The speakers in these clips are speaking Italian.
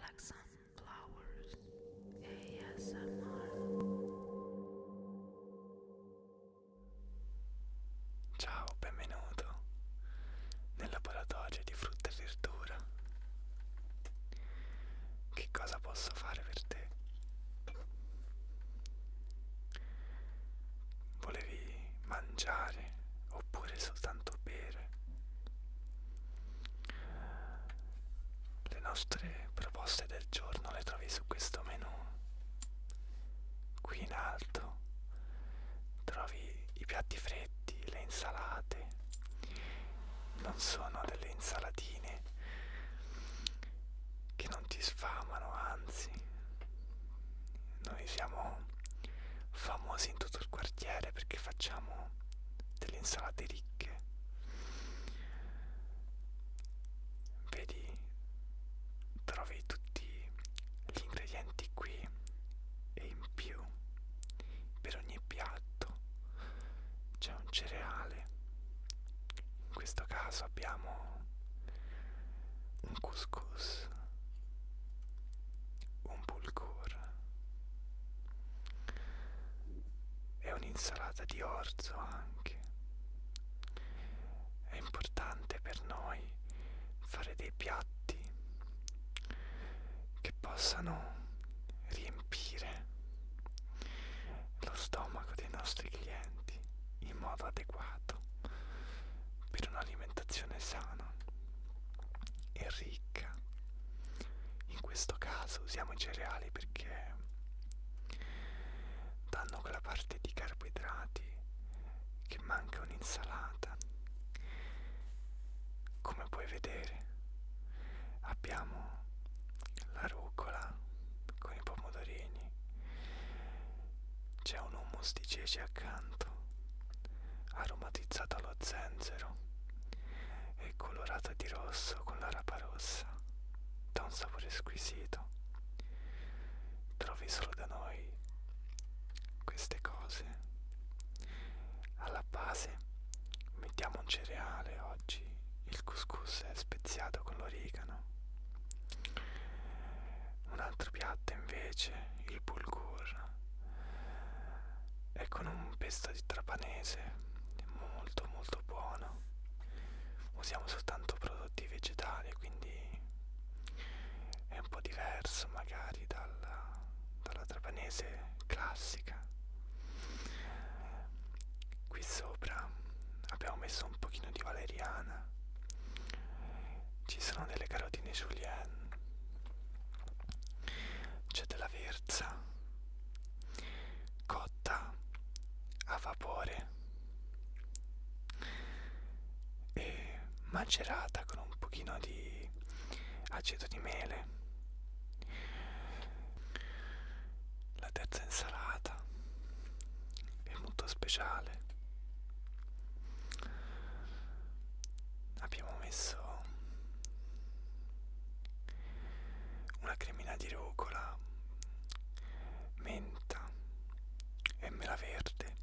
Like Sunflowers ASMR Ciao, benvenuto nel laboratorio di frutta e verdura. Che cosa posso fare per te? Volevi mangiare oppure soltanto bere? le nostre proposte del giorno le trovi su questo menu qui in alto trovi i piatti freddi le insalate non sono delle insalatine che non ti sfamano anzi noi siamo famosi in tutto il quartiere perché facciamo delle insalate ricche vedi trovi tutti gli ingredienti qui e in più per ogni piatto c'è un cereale in questo caso abbiamo un couscous un bulgur e un'insalata di orzo anche. È importante per noi fare dei piatti che possano riempire lo stomaco dei nostri clienti in modo adeguato per un'alimentazione sana e ricca. In questo caso usiamo i cereali perché danno quella parte di carboidrati che manca un'insalata. Come puoi vedere abbiamo la rucola con i pomodorini, c'è un hummus di ceci accanto aromatizzata allo zenzero e colorata di rosso con la rapa rossa. Dà un sapore squisito. Trovi solo da noi queste cose. Alla base mettiamo un cereale oggi. Il couscous è speziato con l'origano. Un altro piatto invece, il bulgur è con un pesto di trapanese molto molto buono usiamo soltanto prodotti vegetali quindi è un po' diverso magari dalla, dalla trapanese classica qui sopra abbiamo messo un pochino di valeriana ci sono delle carotine julienne c'è della verza cotta a vapore e macerata con un pochino di aceto di mele la terza insalata è molto speciale abbiamo messo una cremina di rucola, menta e mela verde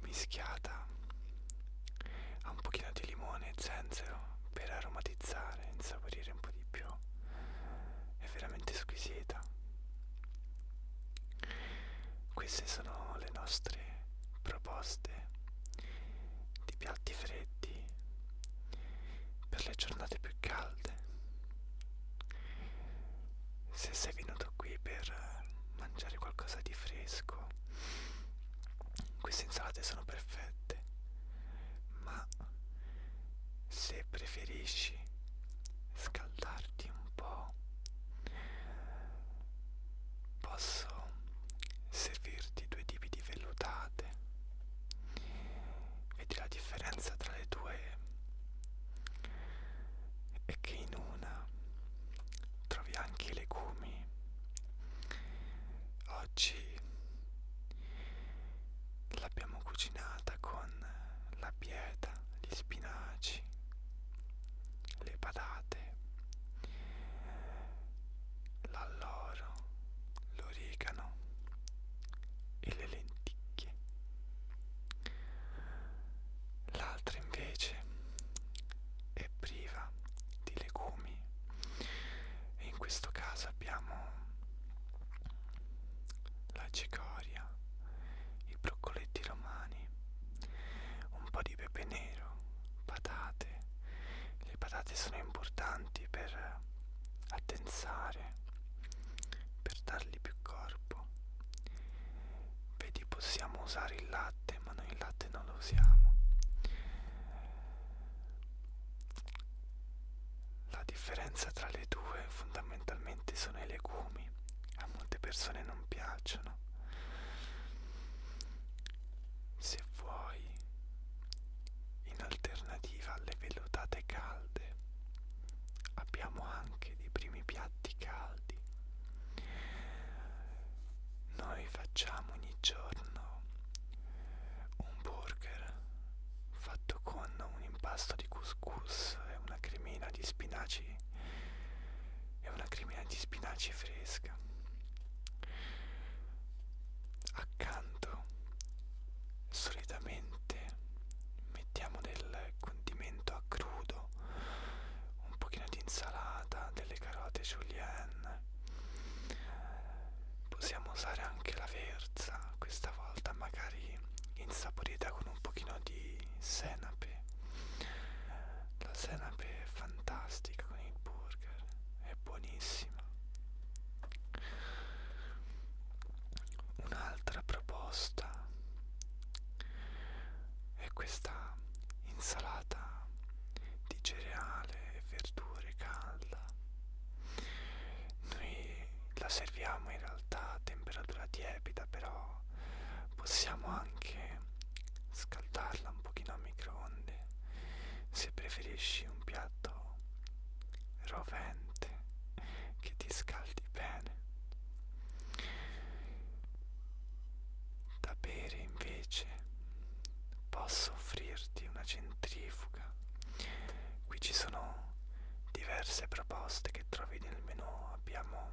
mischiata a un pochino di limone e zenzero per aromatizzare, insaporire un po' di più. È veramente squisita. Queste sono le nostre proposte di piatti freddi per le giornate più calde. Se sei venuto qui per mangiare qualcosa di fresco, queste insalate sono perfette, ma se preferisci scaldare riscaldarti un po'. Posso servirti due tipi di vellutate. Vedi la differenza tra le due è che in una trovi anche i legumi. Oggi l'abbiamo cucinata con la pieta, gli spinaci le patate, l'alloro, l'origano e le lenticchie. L'altra invece è priva di legumi e in questo caso abbiamo la cicoria i broccoletti romani, un po' di pepe nero, patate. Le patate sono importanti per addensare, per dargli più corpo. Vedi, possiamo usare il latte, ma noi il latte non lo usiamo. La differenza tra le due fondamentalmente sono i legumi. A molte persone non piacciono se vuoi, in alternativa alle velutate calde, abbiamo anche dei primi piatti caldi. Noi facciamo ogni giorno un burger fatto con un impasto di couscous e una cremina di spinaci è una cremina di spinaci fresca accanto solitamente mettiamo del condimento a crudo un pochino di insalata delle carote julienne possiamo usare anche la verza questa volta magari insaporita con un pochino di di senape la senape è fantastica con il burger è buonissima un'altra proposta è questa insalata di cereale e verdure calda noi la serviamo in realtà a temperatura 10 lievita però possiamo anche scaldarla un pochino a microonde se preferisci un piatto rovente che ti scaldi bene da bere invece posso offrirti una centrifuga qui ci sono diverse proposte che trovi nel menù abbiamo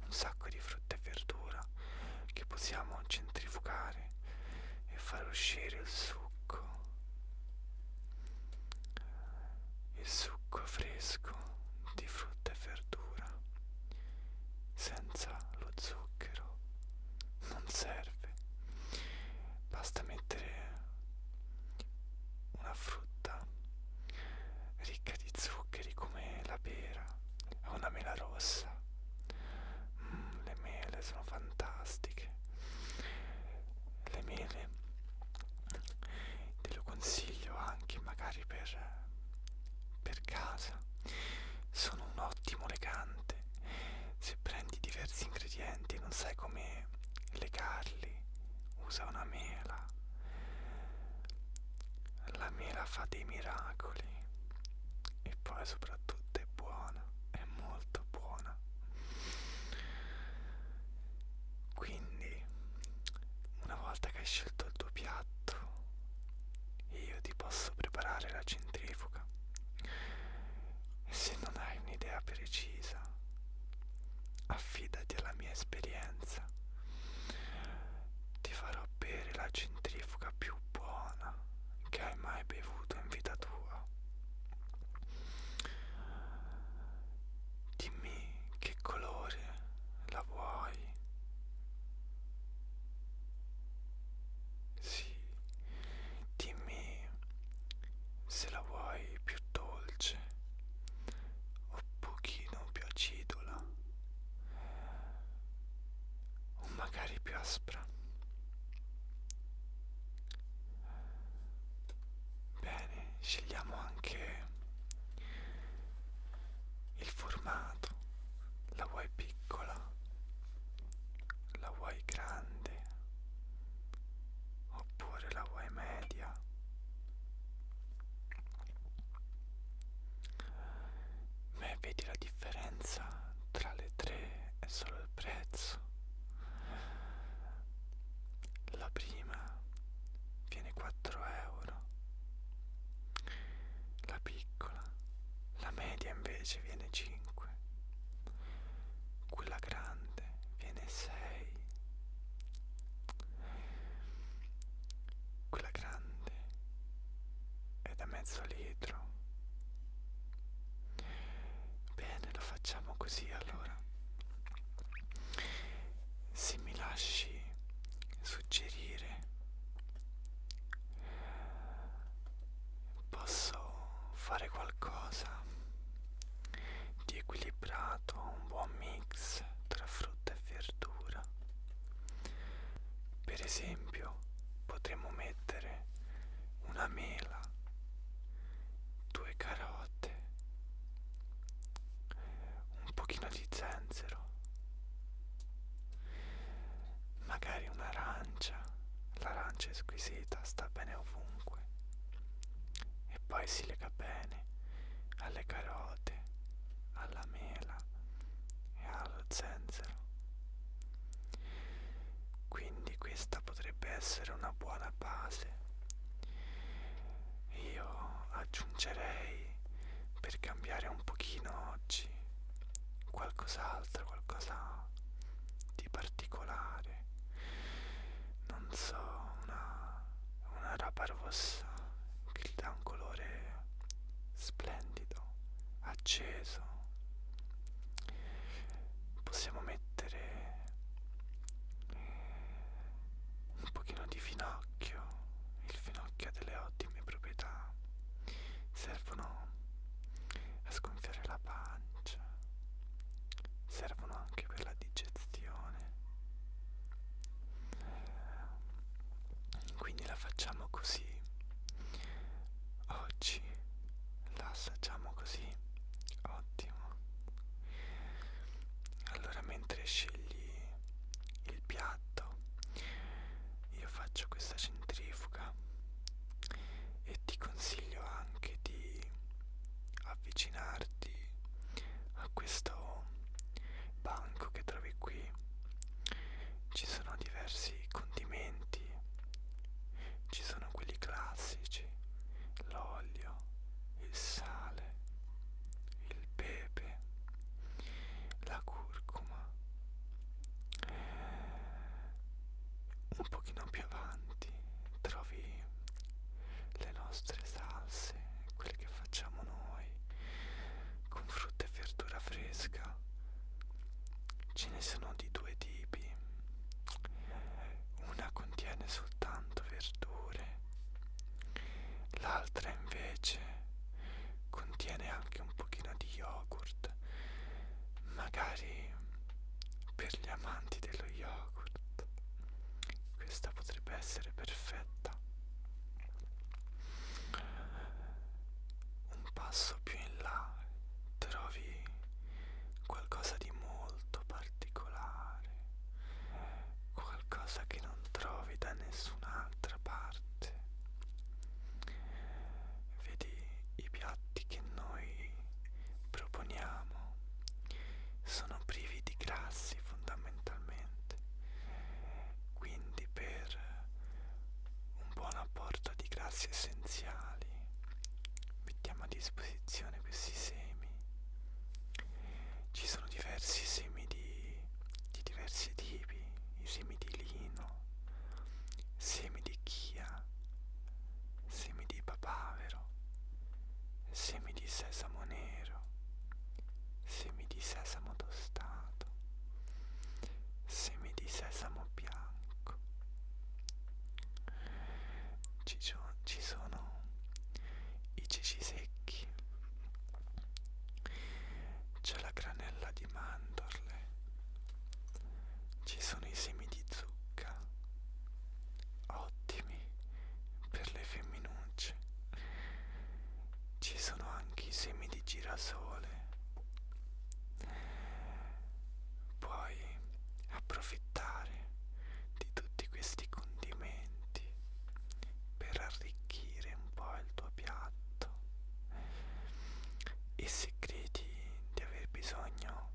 un sacco di frutti frutta e verdura che possiamo centrifugare e far uscire il succo, il succo fresco di frutta e verdura, senza lo zucchero, non serve, basta mettere una frutta ricca di zuccheri come la alla pera, a una mela rossa. Mm, le mele sono fantastiche. Le mele te lo consiglio anche magari per, per casa. Sono un ottimo legante. Se prendi diversi ingredienti e non sai come legarli, usa una mela la mela fa dei miracoli e poi soprattutto è buona, è molto buona. Quindi, una volta che hai scelto il tuo piatto, io ti posso preparare la centrifuga. E se non hai un'idea precisa, affidati alla mia esperienza ti farò bere la centrifuga più buona che hai mai bevuto in vita tua. Dimmi che colore la vuoi. Sì, dimmi se la vuoi più dolce o pochino più acidola o magari più aspra. Bene, scegliamo anche il formato, la vuoi piccola, la vuoi grande, oppure la vuoi media. Beh, vedi la differenza tra le tre è solo il prezzo. La prima viene 4 euro, la piccola, la media invece viene 5, quella grande viene 6. Quella grande è da mezzo litro. Bene, lo facciamo così allora. Se mi lasci suggerire, posso fare qualcosa di equilibrato, un buon mix tra frutta e verdura per esempio potremmo mettere una mela, due carote, un pochino di zenzero, magari un'arancia, l'arancia è squisita, sta bene ovunque e poi si lega bene carne, alle carote, alla mela e allo zenzero. Quindi questa potrebbe essere una buona base. Io aggiungerei per cambiare un pochino oggi qualcos'altro, qualcosa di particolare. Non so, una, una rapa rossa che gli dà un colore splendido, acceso. Possiamo mettere un pochino di finocchio, il finocchio ha delle ottime proprietà, servono a sgonfiare la pancia, servono anche per la digestione quindi la facciamo così oggi la assaggiamo così ottimo allora mentre scegli il piatto io faccio questa centrifuga e ti consiglio anche di avvicinarti a questo banco che trovi qui ci sono diversi condimenti ci sono quelli classici l'olio il sale il pepe la curcuma un pochino più avanti trovi le nostre salse quelle che facciamo noi con frutta e verdura fresca ce ne sono di due tipi una contiene soltanto verdure l'altra invece contiene anche un pochino di yogurt magari per gli amanti dello yogurt questa potrebbe essere perfetta un passo più in là trovi qualcosa di molto particolare, qualcosa che non trovi da nessun'altra parte. Vedi i piatti che noi proponiamo sono privi di grassi fondamentalmente mentalmente quindi per un buon apporto di grassi essenziali mettiamo a disposizione questi semi ci sono diversi semi di, di diversi tipi i semi di lino semi di chia semi di papavero semi di sesamo nero semi semi di sesamo tostato, semi di sesamo bianco. Ci, ci sono i ceci secchi, c'è la granella di mandorle, ci sono i semi di zucca, ottimi per le femminucce ci sono anche i semi di girasole puoi approfittare di tutti questi condimenti per arricchire un po' il tuo piatto e se credi di aver bisogno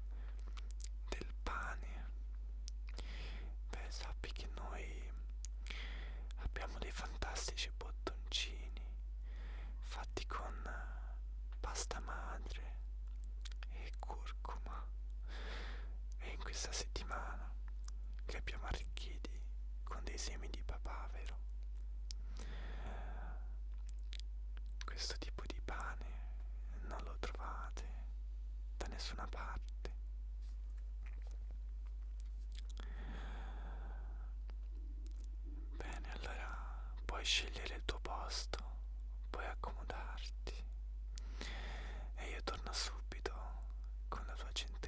del pane beh sai sappi che noi abbiamo dei fantastici bottoncini fatti con eh, pasta madre e curcuma e in questa settimana li abbiamo arricchiti con dei semi di papavero questo tipo di pane non lo trovate da nessuna parte Bene, allora puoi scegliere il tuo posto, puoi accomodarti e io torno subito con la tua centrifuga.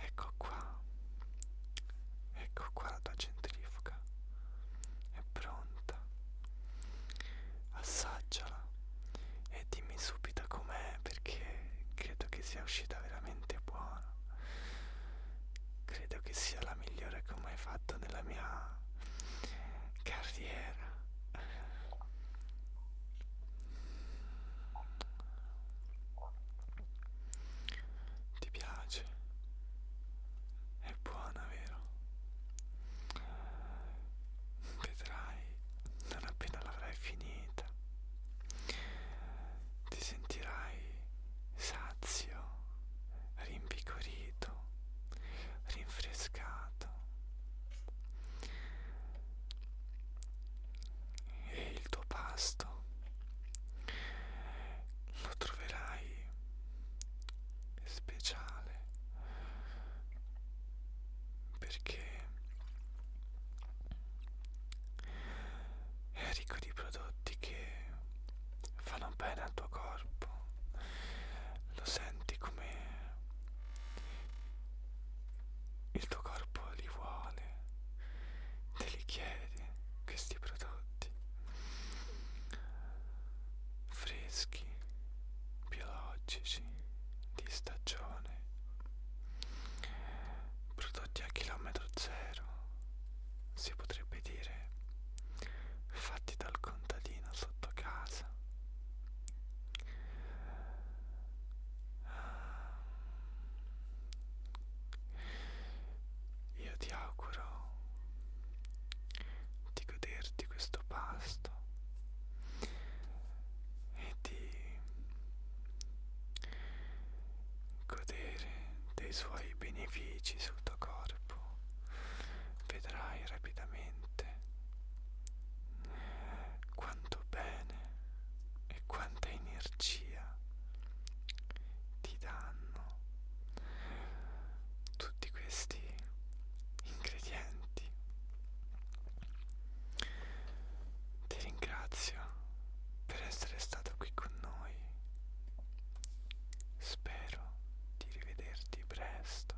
Ecco qua, ecco qua la tua centrifuga, è pronta, assaggiala e dimmi subito com'è perché credo che sia uscita veramente buona, credo che sia la migliore che ho mai fatto nella mia carriera. Ti piace? È buona, vero? Vedrai, non appena l'avrai finita, ti sentirai sazio, rimpiccorito, rinfrescato e il tuo pasto lo troverai speciale perché è ricco di prodotti che fanno bene al tuo corpo lo senti come il tuo corpo li vuole grande te li chiede questi prodotti freschi biologici di stagione prodotti a chilometro zero si potrebbe dire fatti dal contadino sotto casa io ti auguro di goderti questo pasto e di godere dei suoi benefici sul tuo corpo. Vedrai rapidamente quanto bene e quanta energia ti danno tutti questi ingredienti ti ringrazio per essere stato qui con noi spero di rivederti presto